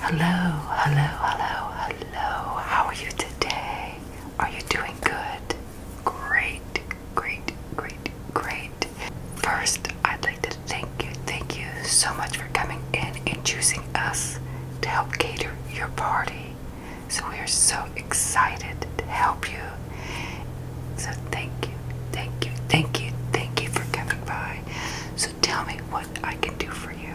Hello, hello, hello, hello. How are you today? Are you doing good? Great, great, great, great. First, I'd like to thank you, thank you so much for coming in and choosing us to help cater your party. So we are so excited to help you. So thank you, thank you, thank you, thank you for coming by. So tell me what I can do for you.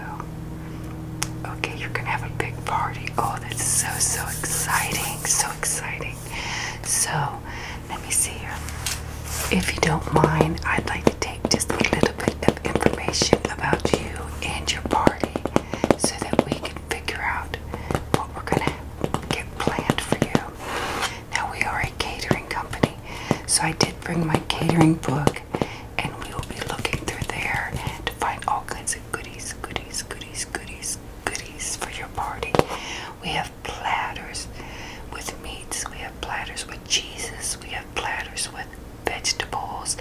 Okay, you're gonna have a big party. Oh, that's so, so exciting, so exciting. So let me see here. If you don't mind, I'd like to take just a little bit of information about you and your party so that we can figure out what we're going to get planned for you. Now, we are a catering company, so I did bring my catering book, and we will be looking through there to find all kinds of goodies, goodies, goodies, goodies, goodies for your party. We have platters with meats, we have platters with cheeses, we have platters with vegetables,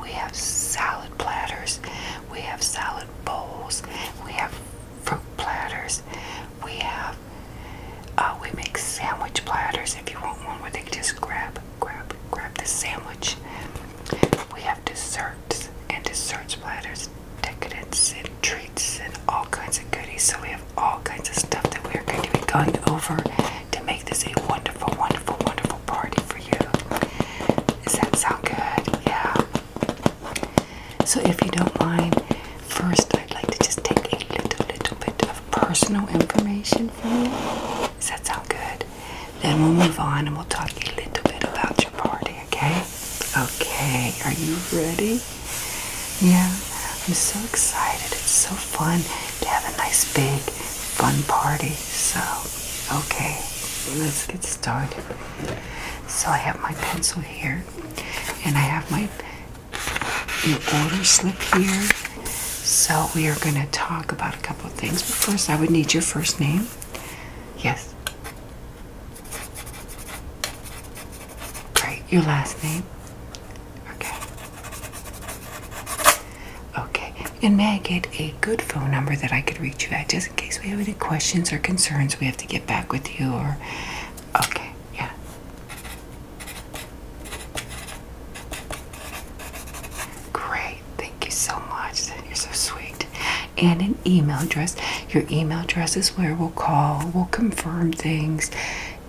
we have salad platters, we have salad bowls. We have fruit platters. We have uh, we make sandwich platters. If you want one where they just grab, grab, grab the sandwich. We have desserts and desserts platters, decadence and treats and all kinds of goodies. So we have all kinds of stuff that we are going to be going over to make this a wonderful, wonderful, wonderful party for does that sound good? Yeah. So, if you don't mind, first I'd like to just take a little, little bit of personal information from you. Does that sound good? Then we'll move on and we'll talk a little bit about your party, okay? Okay, are you ready? Yeah, I'm so excited. It's so fun to have a nice, big, fun party. So, Okay, let's get started. So I have my pencil here, and I have my order slip here. So we are going to talk about a couple of things. first, I would need your first name. Yes. Great. Your last name. Okay. Okay. And may I get a good phone number that I could reach you at just in case we have any questions or concerns we have to get back with you or. Okay, yeah. Great, thank you so much. You're so sweet. And an email address. Your email address is where we'll call, we'll confirm things.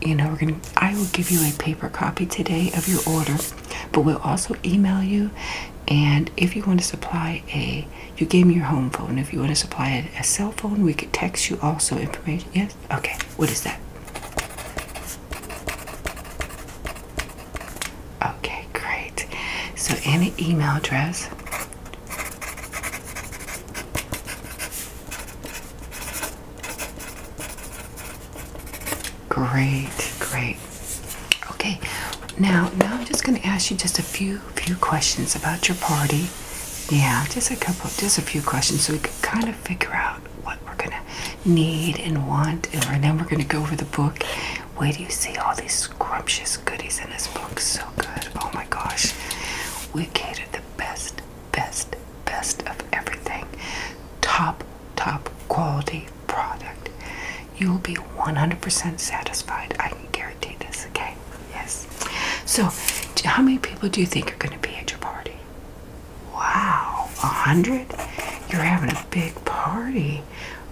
You know, we're gonna. I will give you a paper copy today of your order. But we'll also email you. And if you want to supply a, you gave me your home phone. If you want to supply a, a cell phone, we could text you also information. Yes? Okay. What is that? Okay, great. So, any email address? Great, great. Okay, now now I'm just going to ask you just a few few questions about your party. Yeah, just a couple, just a few questions, so we could kind of figure out what we're going to need and want, and then we're going to go over the book. Wait, do you see all these scrumptious goodies in this book? So good! Oh my gosh, we catered the best, best, best of everything. Top, top quality product. You will be 100% satisfied. I can guarantee this, okay? Yes. So, how many people do you think are going to be at your party? Wow, 100? You're having a big party.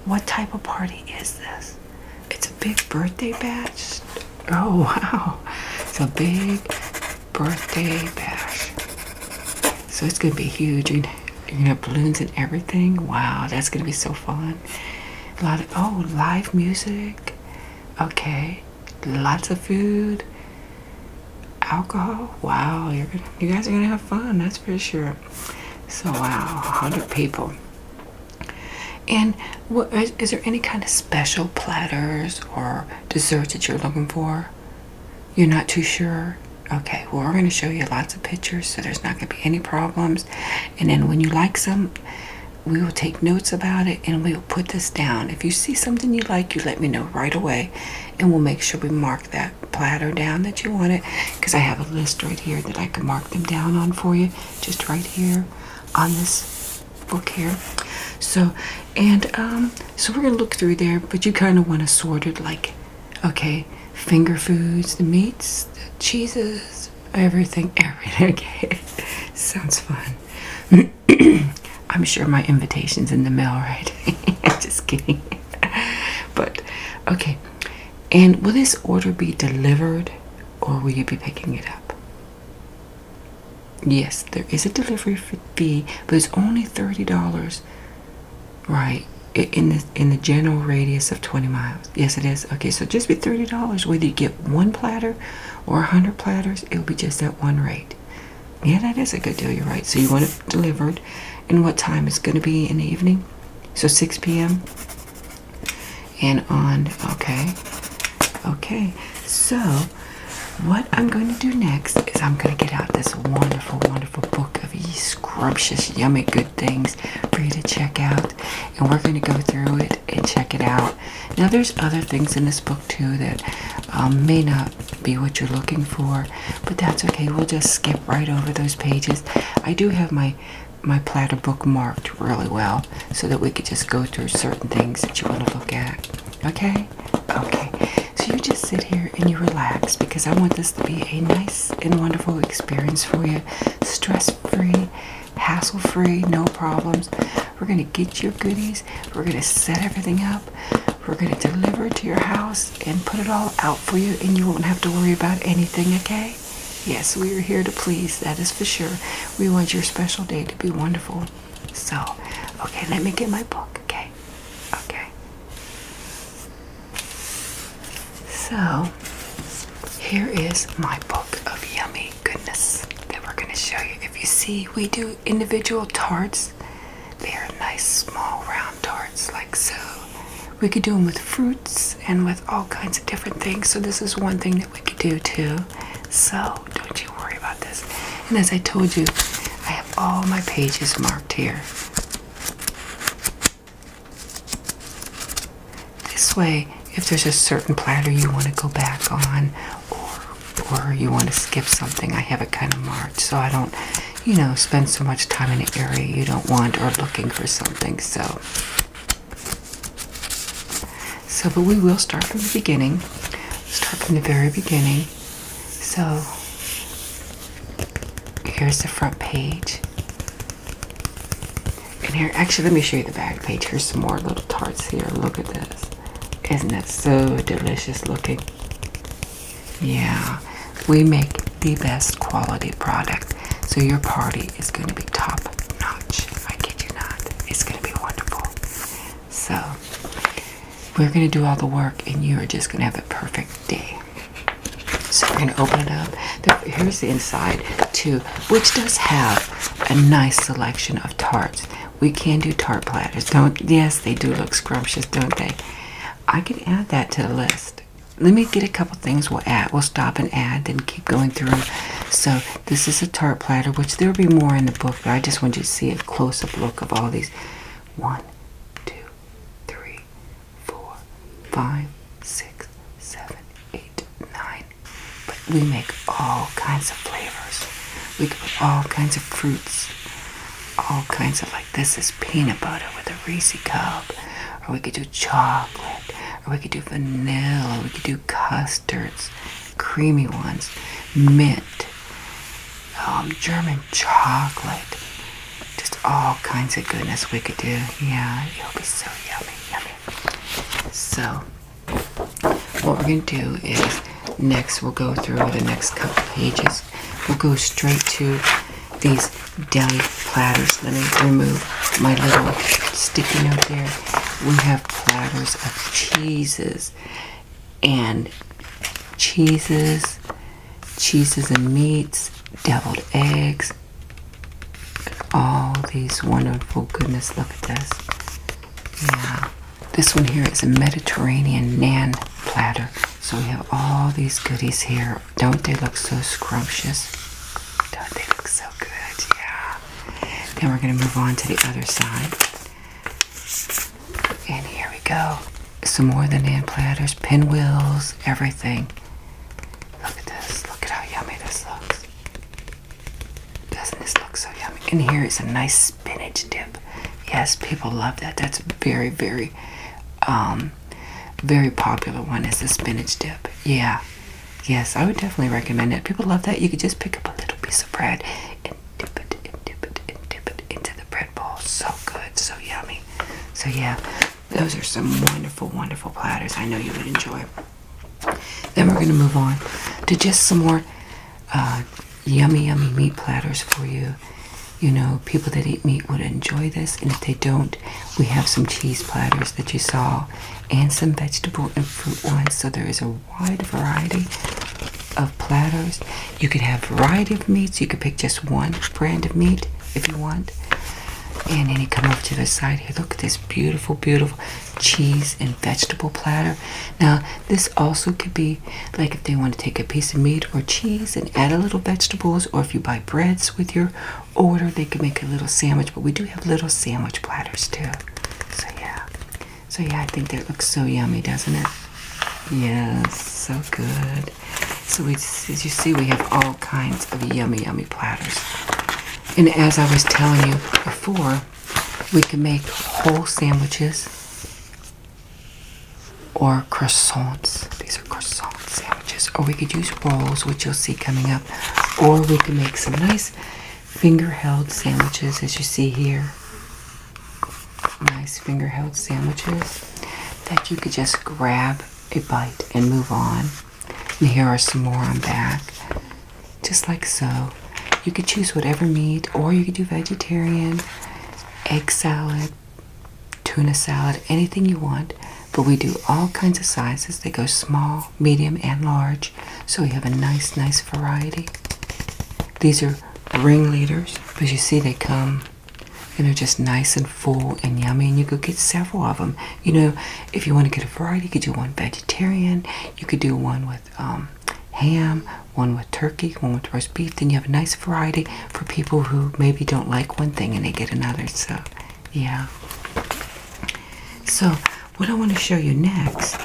What type of party is this? It's a big birthday bash. Oh, wow. It's a big birthday bash. So it's going to be huge. You're gonna have balloons and everything. Wow, that's gonna be so fun. A lot of oh, live music. Okay, lots of food, alcohol. Wow, you're you guys are gonna have fun. That's for sure. So wow, hundred people. And what, is, there any kind of special platters or desserts that you're looking for? You're not too sure. Okay, well, we're going to show you lots of pictures, so there's not going to be any problems. And then when you like some, we will take notes about it and we will put this down. If you see something you like, you let me know right away, and we'll make sure we mark that platter down that you want it. Because I have a list right here that I can mark them down on for you, just right here on this book here. So, and um, so we're going to look through there, but you kind of want to sort it like okay, finger foods, the meats, the cheeses, everything, everything. Okay, sounds fun. I'm sure my invitation's in the mail, right? Just kidding. but okay, and will this order be delivered or will you be picking it up? Yes, there is a delivery fee, but it's only $30 Right. In the, in the general radius of 20 miles. Yes, it is. Okay, so just be $30 whether you get one platter or 100 platters, it'll be just at one rate. Yeah, that is a good deal. You're right. So you want it delivered. And what time? It's going to be in the evening? So 6 p.m.? And on, okay. Okay. So what I'm going to do next is I'm going to get out this wonderful, wonderful book of scrumptious, yummy, things for you to check out, and we're going to go through it and check it out. Now, there's other things in this book too that um, may not be what you're looking for, but that's okay. We'll just skip right over those pages. I do have my my platter book marked really well so that we could just go through certain things that you want to look at. Okay? Okay. So you just sit here and you relax because I want this to be a nice and wonderful experience for you. Stress free, hassle free, no problems. We're going to get your goodies. We're going to set everything up. We're going to deliver it to your house and put it all out for you, and you won't have to worry about anything, okay? Yes, we are here to please, that is for sure. We want your special day to be wonderful. So, okay, let me get my book, okay? Okay. So, here is my book of yummy goodness that we're going to show you. If you see, we do individual tarts. They are nice, small, round tarts, like so. We could do them with fruits and with all kinds of different things. So, this is one thing that we could do too. So, don't you worry about this. And as I told you, I have all my pages marked here. This way, if there's a certain platter you want to go back on or or you want to skip something, I have it kind of marked so I don't, you know, spend so much time in an area you don't want or looking for something. So so, but we will start from the beginning. Start from the very beginning. So, Here's the front page. And here, actually, let me show you the back page. Here's some more little tarts here. Look at this. Isn't that so delicious looking? Yeah, we make the best quality product. So your party is going to be top notch. I kid you not. It's going to be wonderful. So, we're going to do all the work, and you are just going to have a perfect day. So we're going to open it up. here's the inside too, which does have a nice selection of tarts. We can do tart platters. Don't yes, they do look scrumptious, don't they? I can add that to the list. Let me get a couple things we'll add. We'll stop and add, then keep going through So this is a tart platter, which there'll be more in the book, but I just want you to see a close-up look of all these. One, two, three, four, five, six, seven, eight, nine. But we make all kinds of flavors. We can put all kinds of fruits, all kinds of like this is peanut butter with a Reese cup, or we could do chocolate, or we could do vanilla, we could do custards, creamy ones, mint, um, German chocolate, just all kinds of goodness we could do. Yeah, it'll be so yummy, yummy. So, what we're going to do is next we'll go through the next couple pages. We'll go straight to these deli platters. Let me remove my little sticky note here. We have platters of cheeses and cheeses cheeses and meats, deviled eggs, all these wonderful goodness. Look at this. Yeah. This one here is a Mediterranean nan platter. So we have all these goodies here. Don't they look so scrumptious? Don't they look so good? Yeah. And we're going to move on to the other side. And here we go some more than hand platters, pinwheels, everything. Look at this. Look at how yummy this looks. Doesn't this look so yummy? And here is a nice spinach dip. Yes, people love that. That's a very, very, um, very popular one is the spinach dip. Yeah. Yes, I would definitely recommend it. People love that. You could just pick up a little piece of bread and dip it and dip it and dip it into the bread bowl. So good, so yummy. So yeah, those are some wonderful, wonderful platters. I know you would enjoy. Then we're going to move on to just some more uh, yummy, yummy meat platters for you. You know, people that eat meat would enjoy this, and if they don't, we have some cheese platters that you saw and some vegetable and fruit ones. So there is a wide variety of platters. You could have variety of meats. You could pick just one brand of meat if you want. And then you come over to the side here. Look at this beautiful, beautiful cheese and vegetable platter. Now, this also could be like if they want to take a piece of meat or cheese and add a little vegetables, or if you buy breads with your order, they could make a little sandwich. But we do have little sandwich platters too. So, yeah. So, yeah, I think that looks so yummy, doesn't it? Yes, so good. So it's, as you see, we have all kinds of yummy, yummy platters. And as I was telling you before, we could make whole sandwiches or croissants. These are croissant sandwiches. Or we could use rolls, which you'll see coming up. Or we could make some nice finger-held sandwiches, as you see here. Nice finger-held sandwiches that you could just grab a bite and move on. And here are some more on back, just like so. You could choose whatever meat, or you could do vegetarian, egg salad, tuna salad, anything you want. But we do all kinds of sizes. They go small, medium, and large. So we have a nice, nice variety. These are ringleaders, but you see they come and are just nice and full and yummy and you could get several of them you know if you want to get a variety you could do one vegetarian you could do one with um, ham one with turkey one with roast beef then you have a nice variety for people who maybe don't like one thing and they get another so yeah so what i want to show you next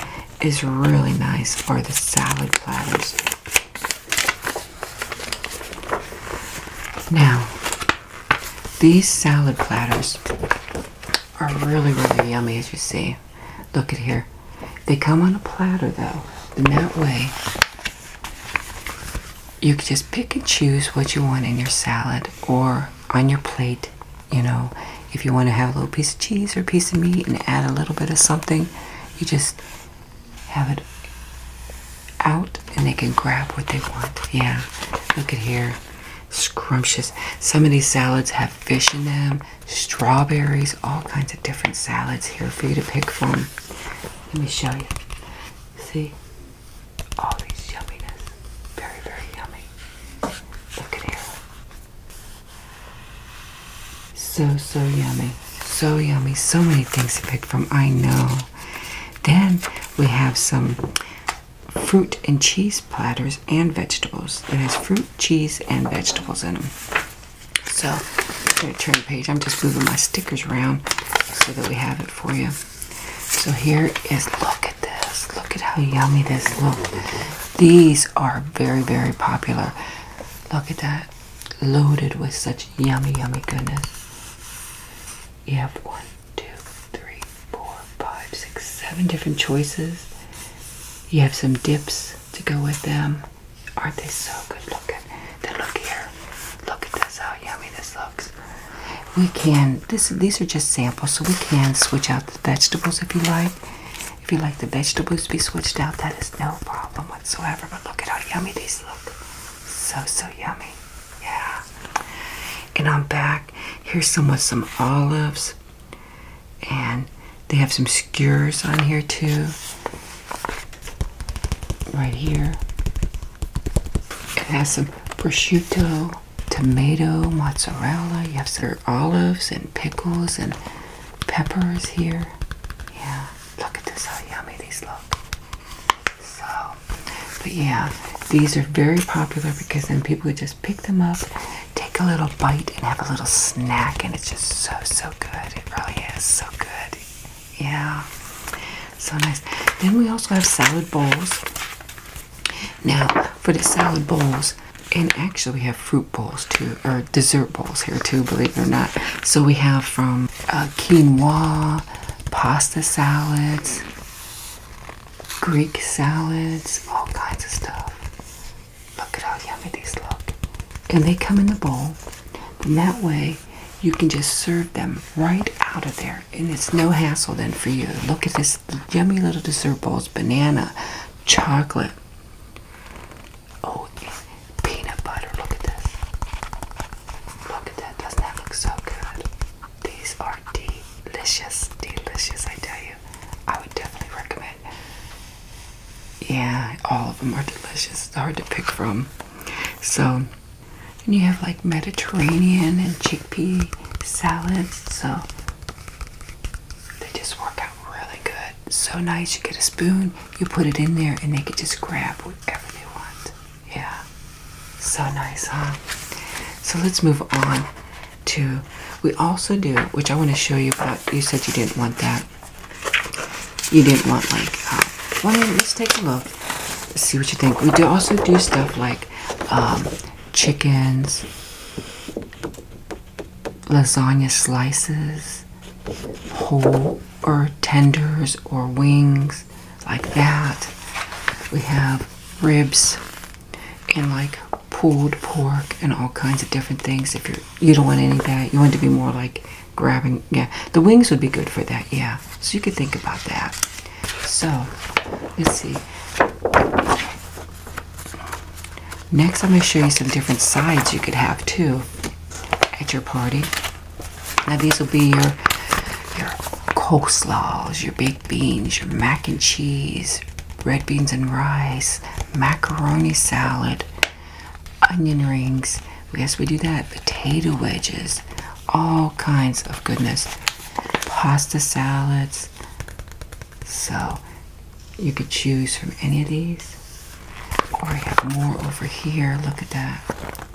is really nice for the salad platters now, these salad platters are really, really yummy, as you see. Look at here. They come on a platter, though, and that way you can just pick and choose what you want in your salad or on your plate. You know, if you want to have a little piece of cheese or a piece of meat and add a little bit of something, you just have it out and they can grab what they want. Yeah, look at here. Scrumptious. Some of these salads have fish in them, strawberries, all kinds of different salads here for you to pick from. Let me show you. See? All these yumminess. Very, very yummy. Look at here. So, so yummy. So yummy. So many things to pick from. I know. Then we have some fruit and cheese platters and vegetables. It has fruit, cheese, and vegetables in them. So I'm turn the page. I'm just moving my stickers around so that we have it for you. So here is, look at this. Look at how yummy this look. These are very, very popular. Look at that loaded with such yummy, yummy goodness. You have one, two, three, four, five, six, seven different choices. You have some dips to go with them. Aren't they so good looking? Then look here. Look at this, how yummy this looks. We can, this, these are just samples, so we can switch out the vegetables if you like. If you like the vegetables to be switched out, that is no problem whatsoever. But look at how yummy these look. So, so yummy. Yeah. And I'm back. Here's some with some olives. And they have some skewers on here too. Right here. It has some prosciutto, tomato, mozzarella. You have some olives and pickles and peppers here. Yeah. Look at this, how yummy these look. So, but yeah, these are very popular because then people would just pick them up, take a little bite, and have a little snack, and it's just so, so good. It really is so good. Yeah, so nice. Then we also have salad bowls. Now, for the salad bowls, and actually we have fruit bowls too, or dessert bowls here too, believe it or not. So we have from uh, quinoa, pasta salads, Greek salads, all kinds of stuff. Look at how yummy these look. And they come in the bowl. And that way you can just serve them right out of there. And it's no hassle then for you. Look at this yummy little dessert bowls banana, chocolate, Oh, it's peanut butter. Look at this. Look at that. Doesn't that look so good? These are delicious. Delicious, I tell you. I would definitely recommend. Yeah, all of them are delicious. It's hard to pick from. So, and you have like Mediterranean and chickpea salads. So, they just work out really good. So nice. You get a spoon, you put it in there and they can just grab whatever they want. Yeah. So nice, huh? So let's move on to we also do, which I want to show you, but you said you didn't want that. You didn't want like uh, well let's take a look. See what you think. We do also do stuff like um, chickens, lasagna slices, whole or tenders or wings like that. We have ribs and like pulled pork and all kinds of different things. If you're you don't want any of that, you want it to be more like grabbing. Yeah, the wings would be good for that. Yeah, so you could think about that. So let's see. Next, I'm going to show you some different sides you could have too at your party. Now these will be your your coleslaws, your baked beans, your mac and cheese, red beans and rice, macaroni salad, onion rings. Yes, we do that. Potato wedges, all kinds of goodness. Pasta salads. So you could choose from any of these. We have more over here. Look at that.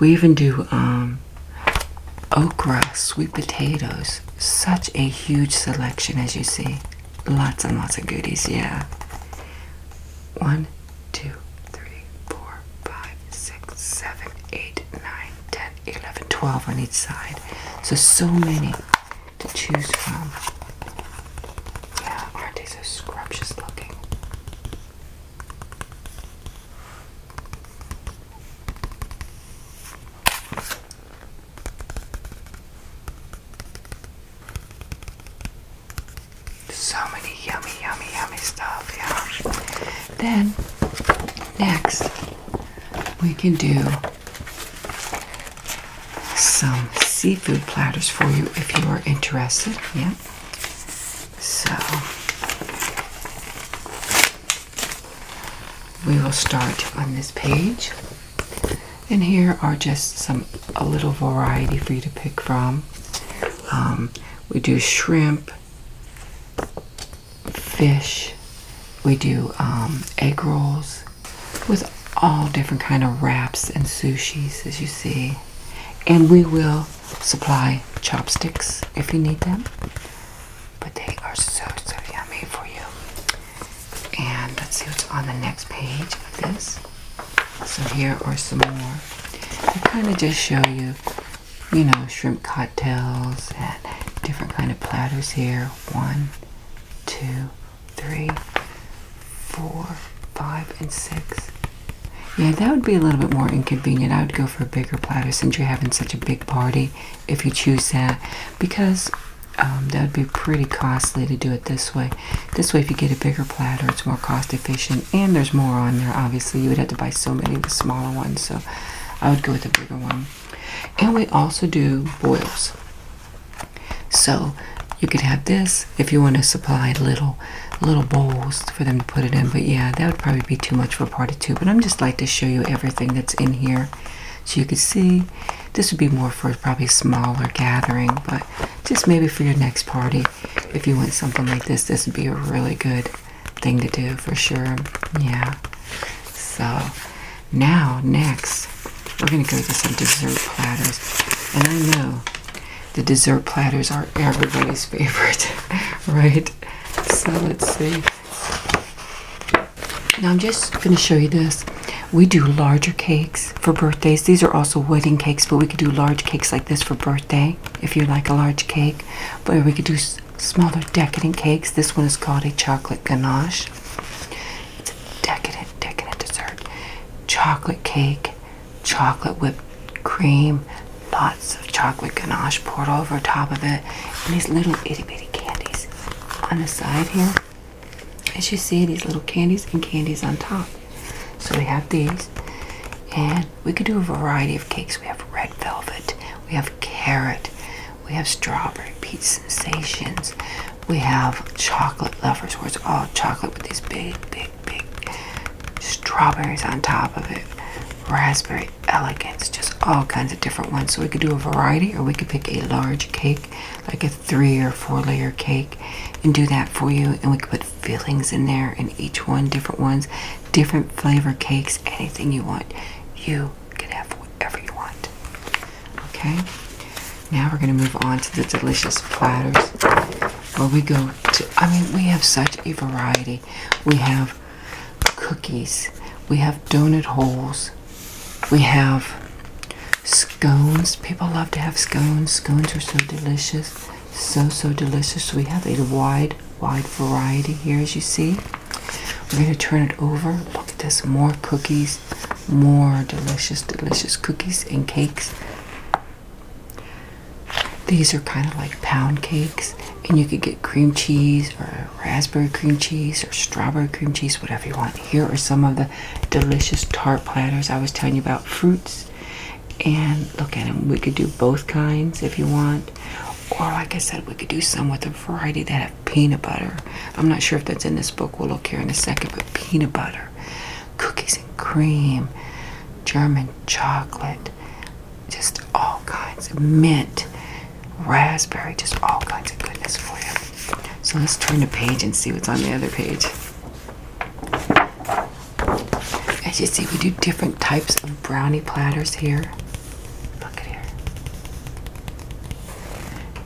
We even do um, okra, sweet potatoes. Such a huge selection, as you see. Lots and lots of goodies, yeah. One, two, three, four, five, six, seven, eight, nine, ten, eleven, twelve on each side. So, so many to choose from. Yeah, aren't they so scrumptious looking? So many yummy, yummy, yummy stuff, yeah. Then, next, we can do some seafood platters for you if you are interested, yeah. So we will start on this page. And here are just some a little variety for you to pick from. Um, we do shrimp, fish, we do um, egg rolls with all different kind of wraps and sushis as you see and we will supply chopsticks if you need them, but they are so so yummy for you. And let's see what's on the next page of this. So here are some more. They kind of just show you, you know, shrimp cocktails and different kind of platters here. One, two, three four, five, and six. Yeah, that would be a little bit more inconvenient. I would go for a bigger platter since you're having such a big party if you choose that because um, that would be pretty costly to do it this way. This way, if you get a bigger platter, it's more cost efficient and there's more on there. Obviously, you would have to buy so many of the smaller ones, so I would go with a bigger one. And we also do boils. So you could have this if you want to supply little little bowls for them to put it in. But yeah, that would probably be too much for part of two. But I'm just like to show you everything that's in here. So you can see this would be more for probably smaller gathering, but just maybe for your next party, if you want something like this, this would be a really good thing to do for sure. Yeah. So now next we're gonna go to some dessert platters. And I know the dessert platters are everybody's favorite, right? So let's see. Now I'm just going to show you this. We do larger cakes for birthdays. These are also wedding cakes, but we could do large cakes like this for birthday if you like a large cake. But we could do smaller decadent cakes. This one is called a chocolate ganache. It's a decadent, decadent dessert. Chocolate cake chocolate whipped cream, lots of chocolate ganache poured over top of it, and these little itty bitty candies on the side here. As you see, these little candies and candies on top. So we have these, and we could do a variety of cakes. We have red velvet, we have carrot, we have strawberry peach sensations, we have chocolate lovers, where it's all chocolate with these big, big big, strawberries on top of it, raspberry elegance, just all kinds of different ones. So we could do a variety, or we could pick a large cake, like a three or four layer cake, and do that for you. And we could put fillings in there, and each one different ones, different flavor cakes, anything you want. You can have whatever you want. Okay, now we're going to move on to the delicious platters where we go to. I mean, we have such a variety. We have cookies, we have donut holes, we have scones. People love to have scones. Scones are so delicious. So, so delicious. We have a wide, wide variety here, as you see. We're going to turn it over. Look at this. More cookies. More delicious, delicious cookies and cakes. These are kind of like pound cakes, and you could get cream cheese or raspberry cream cheese or strawberry cream cheese, whatever you want. Here are some of the delicious tart platters I was telling you about fruits. And look at them, we could do both kinds if you want. Or, like I said, we could do some with a variety that have peanut butter. I'm not sure if that's in this book, we'll look here in a second, but peanut butter cookies and cream, German chocolate, just all kinds of mint, raspberry, just all kinds of goodness for you. So let's turn the page and see what's on the other page. As you see, we do different types of brownie platters here. Look at here.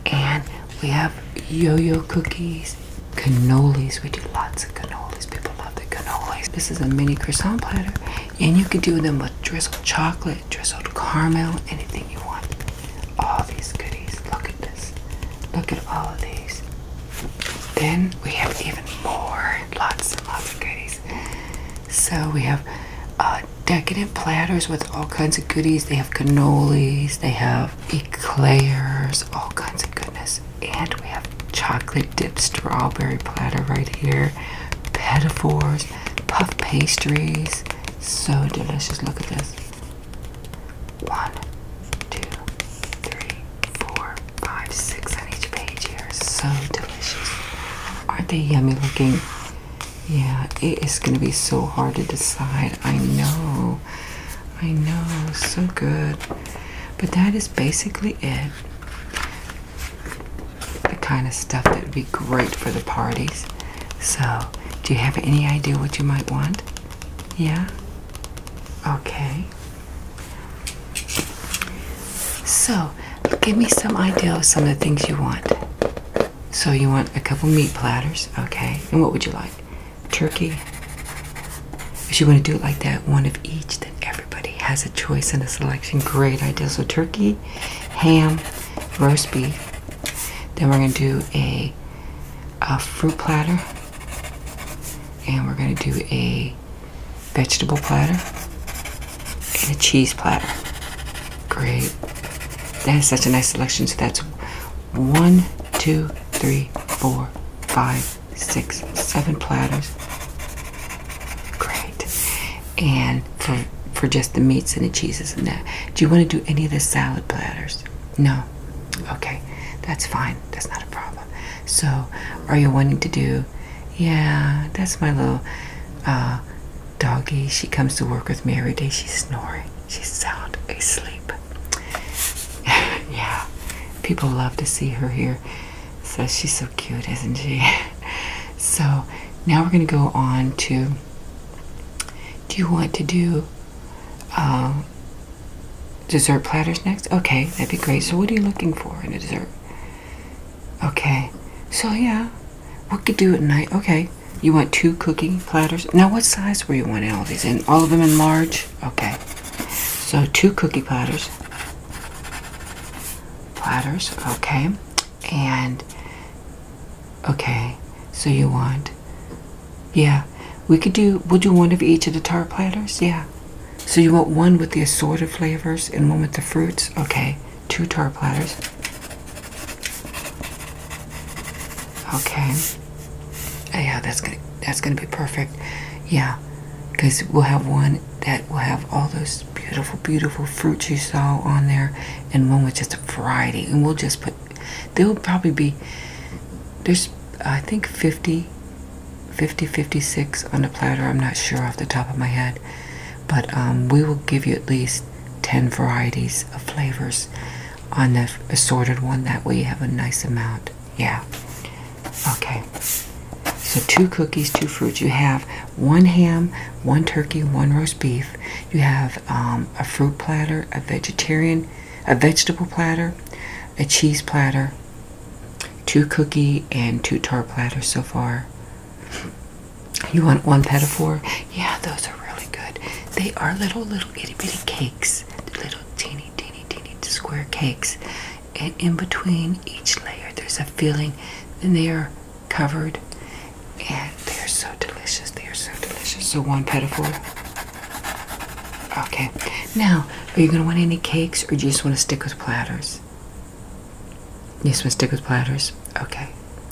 And we have yo-yo cookies, Cannolis, we do lots of cannolis. People love the cannolis. This is a mini croissant platter, and you can do them with drizzled chocolate, drizzled caramel, anything you want. All these goodies. Look at this. Look at all of these. Then we have even more, lots and lots of goodies. So we have uh, decadent platters with all kinds of goodies. They have cannolis, they have eclairs, all kinds of goodness and we have chocolate dipped strawberry platter right here pedophores puff pastries so delicious look at this one two three four five six on each page here so delicious aren't they yummy looking yeah it is gonna be so hard to decide i know I know, so good. But that is basically it. The kind of stuff that would be great for the parties. So, do you have any idea what you might want? Yeah? Okay. So, give me some idea of some of the things you want. So, you want a couple meat platters, okay? And what would you like? turkey. If you want to do it like that, one of each, then everybody has a choice in a selection. Great idea. So turkey, ham, roast beef. Then we're going to do a fruit platter. And we're going to do a vegetable platter and a cheese platter. Great. That is such a nice selection. So that's one, two, three, four, Five, six, seven platters. Great. And for for just the meats and the cheeses and that. Do you want to do any of the salad platters? No. Okay. That's fine. That's not a problem. So, are you wanting to do? Yeah, that's my little uh, doggy. She comes to work with me every day. She's snoring. She's sound asleep. yeah, people love to see her here. So she's so cute, isn't she? so now we're going to go on to do you want to do um, dessert platters next? Okay, that'd be great. So, what are you looking for in a dessert? Okay, so yeah, what could do at night. Okay, you want two cookie platters? Now, what size were you wanting all of these in? All of them in large? Okay. So two cookie platters. Platters, okay. And okay. So you want Yeah. We could do we'll do one of each of the tart platters, yeah. So you want one with the assorted flavors and one with the fruits? Okay. Two tart platters. Okay. Oh, yeah, that's gonna that's gonna be perfect. Yeah, because we'll have one that will have all those beautiful, beautiful fruits you saw on there, and one with just a variety. And we'll just put. There'll probably be. There's I think 50, 50, 56 on the platter. I'm not sure off the top of my head, but um, we will give you at least 10 varieties of flavors on the assorted one. That we have a nice amount. Yeah. Okay. So two cookies, two fruits. You have one ham, one turkey, one roast beef. You have um, a fruit platter, a vegetarian, a vegetable platter, a cheese platter, two cookie and two tar platters so far. You want one pedophore? Yeah, those are really good. They are little, little itty bitty cakes. Little teeny teeny, teeny, square cakes. And in between each layer, there's a filling, and they are covered. And they are so delicious. They are so delicious. So, one pedophile. Okay. Now, are you going to want any cakes or do you just want to stick with platters? You just want to stick with platters? Okay.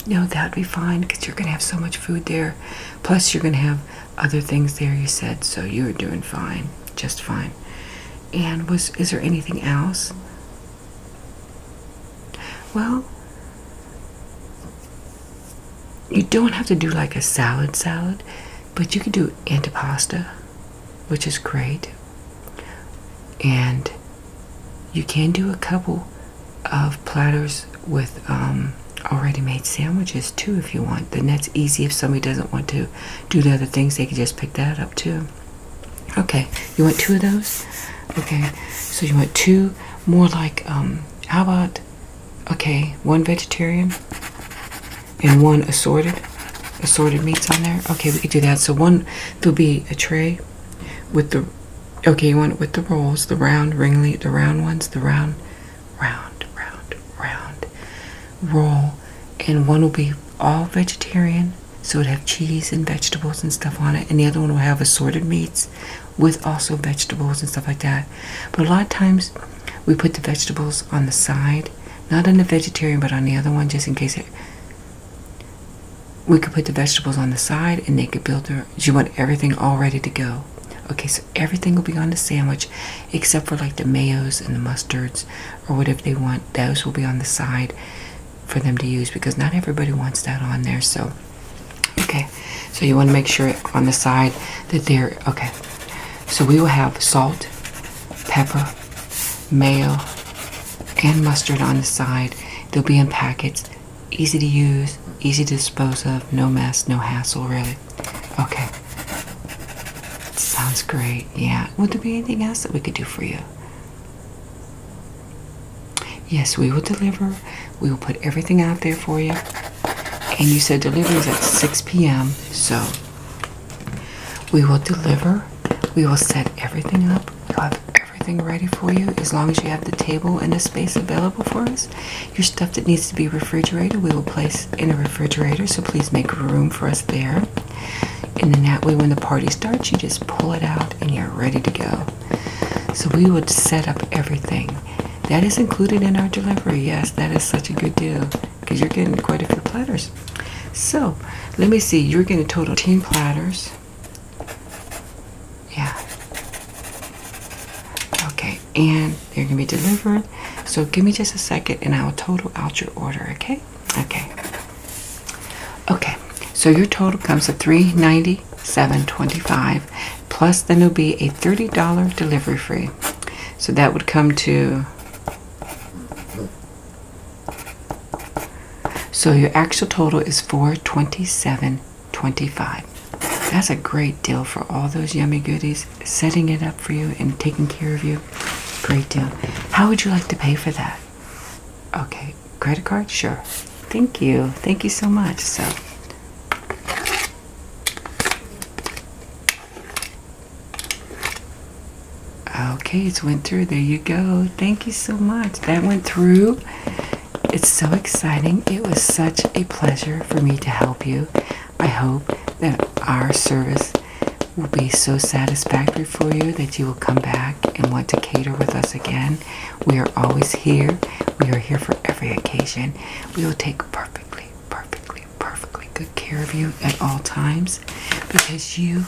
No, that'd be fine because you're going to have so much food there. Plus, you're going to have other things there you said so you were doing fine just fine and was is there anything else well you don't have to do like a salad salad but you could do antipasta which is great and you can do a couple of platters with um, already made sandwiches too if you want. Then that's easy if somebody doesn't want to do the other things, they can just pick that up too. Okay, you want two of those? Okay, so you want two more like, um, how about, okay, one vegetarian and one assorted, assorted meats on there. Okay, we could do that. So one, there'll be a tray with the, okay, you want with the rolls, the round ringly, the round ones, the round round, round, round roll, and one will be all vegetarian, so it'd have cheese and vegetables and stuff on it, and the other one will have assorted meats with also vegetables and stuff like that. But a lot of times we put the vegetables on the side, not on the vegetarian, but on the other one, just in case it. We could put the vegetables on the side and they could build her. She want everything all ready to go. Okay, so everything will be on the sandwich except for like the mayos and the mustards or whatever they want. Those will be on the side for them to use because not everybody wants that on there. So, okay. So you want to make sure on the side that they're okay. So we will have salt, pepper, mayo, and mustard on the side. They'll be in packets, easy to use, easy to dispose of, no mess, no hassle really. Okay. Sounds great. Yeah. Would there be anything else that we could do for you? Yes, we will deliver. We will put everything out there for you. And you said delivery is at 6 p.m. So we will deliver. We will set everything up. We'll have everything ready for you as long as you have the table and the space available for us. Your stuff that needs to be refrigerated, we will place in a refrigerator, so please make room for us there. And then that way, when the party starts, you just pull it out and you're ready to go. So we would set up everything. That is included in our delivery. Yes, that is such a good deal because you're getting quite a few platters. So let me see, you're getting a total of 10 platters. Yeah. Okay, and they're gonna be delivered. So give me just a second and I'll total out your order, okay? Okay. Okay, so your total comes to $397.25 plus then it'll be a $30 delivery fee. So that would come to so your actual total is 427 25 That's a great deal for all those yummy goodies, setting it up for you and taking care of you. Great deal. How would you like to pay for that? Okay, credit card? Sure. Thank you. Thank you so much. So Okay, it's went through. There you go. Thank you so much. That went through. It's so exciting. It was such a pleasure for me to help you. I hope that our service will be so satisfactory for you that you will come back and want to cater with us again. We are always here. We are here for every occasion. We will take perfectly, perfectly, perfectly good care of you at all times because you,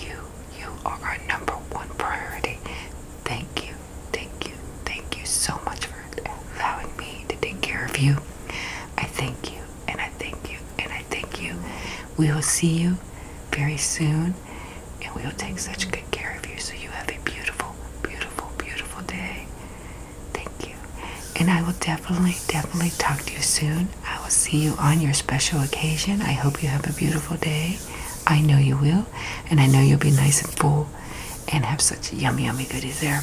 you, you are our number one priority. Thank you, Thank you. Thank you so much for allowing me to take care of you. I thank you and I thank you and I thank you. We will see you very soon and we will take such good care of you. So you have a beautiful, beautiful, beautiful day. Thank you. And I will definitely, definitely talk to you soon. I will see you on your special occasion. I hope you have a beautiful day. I know you will. And I know you'll be nice and full and have such yummy, yummy goodies there.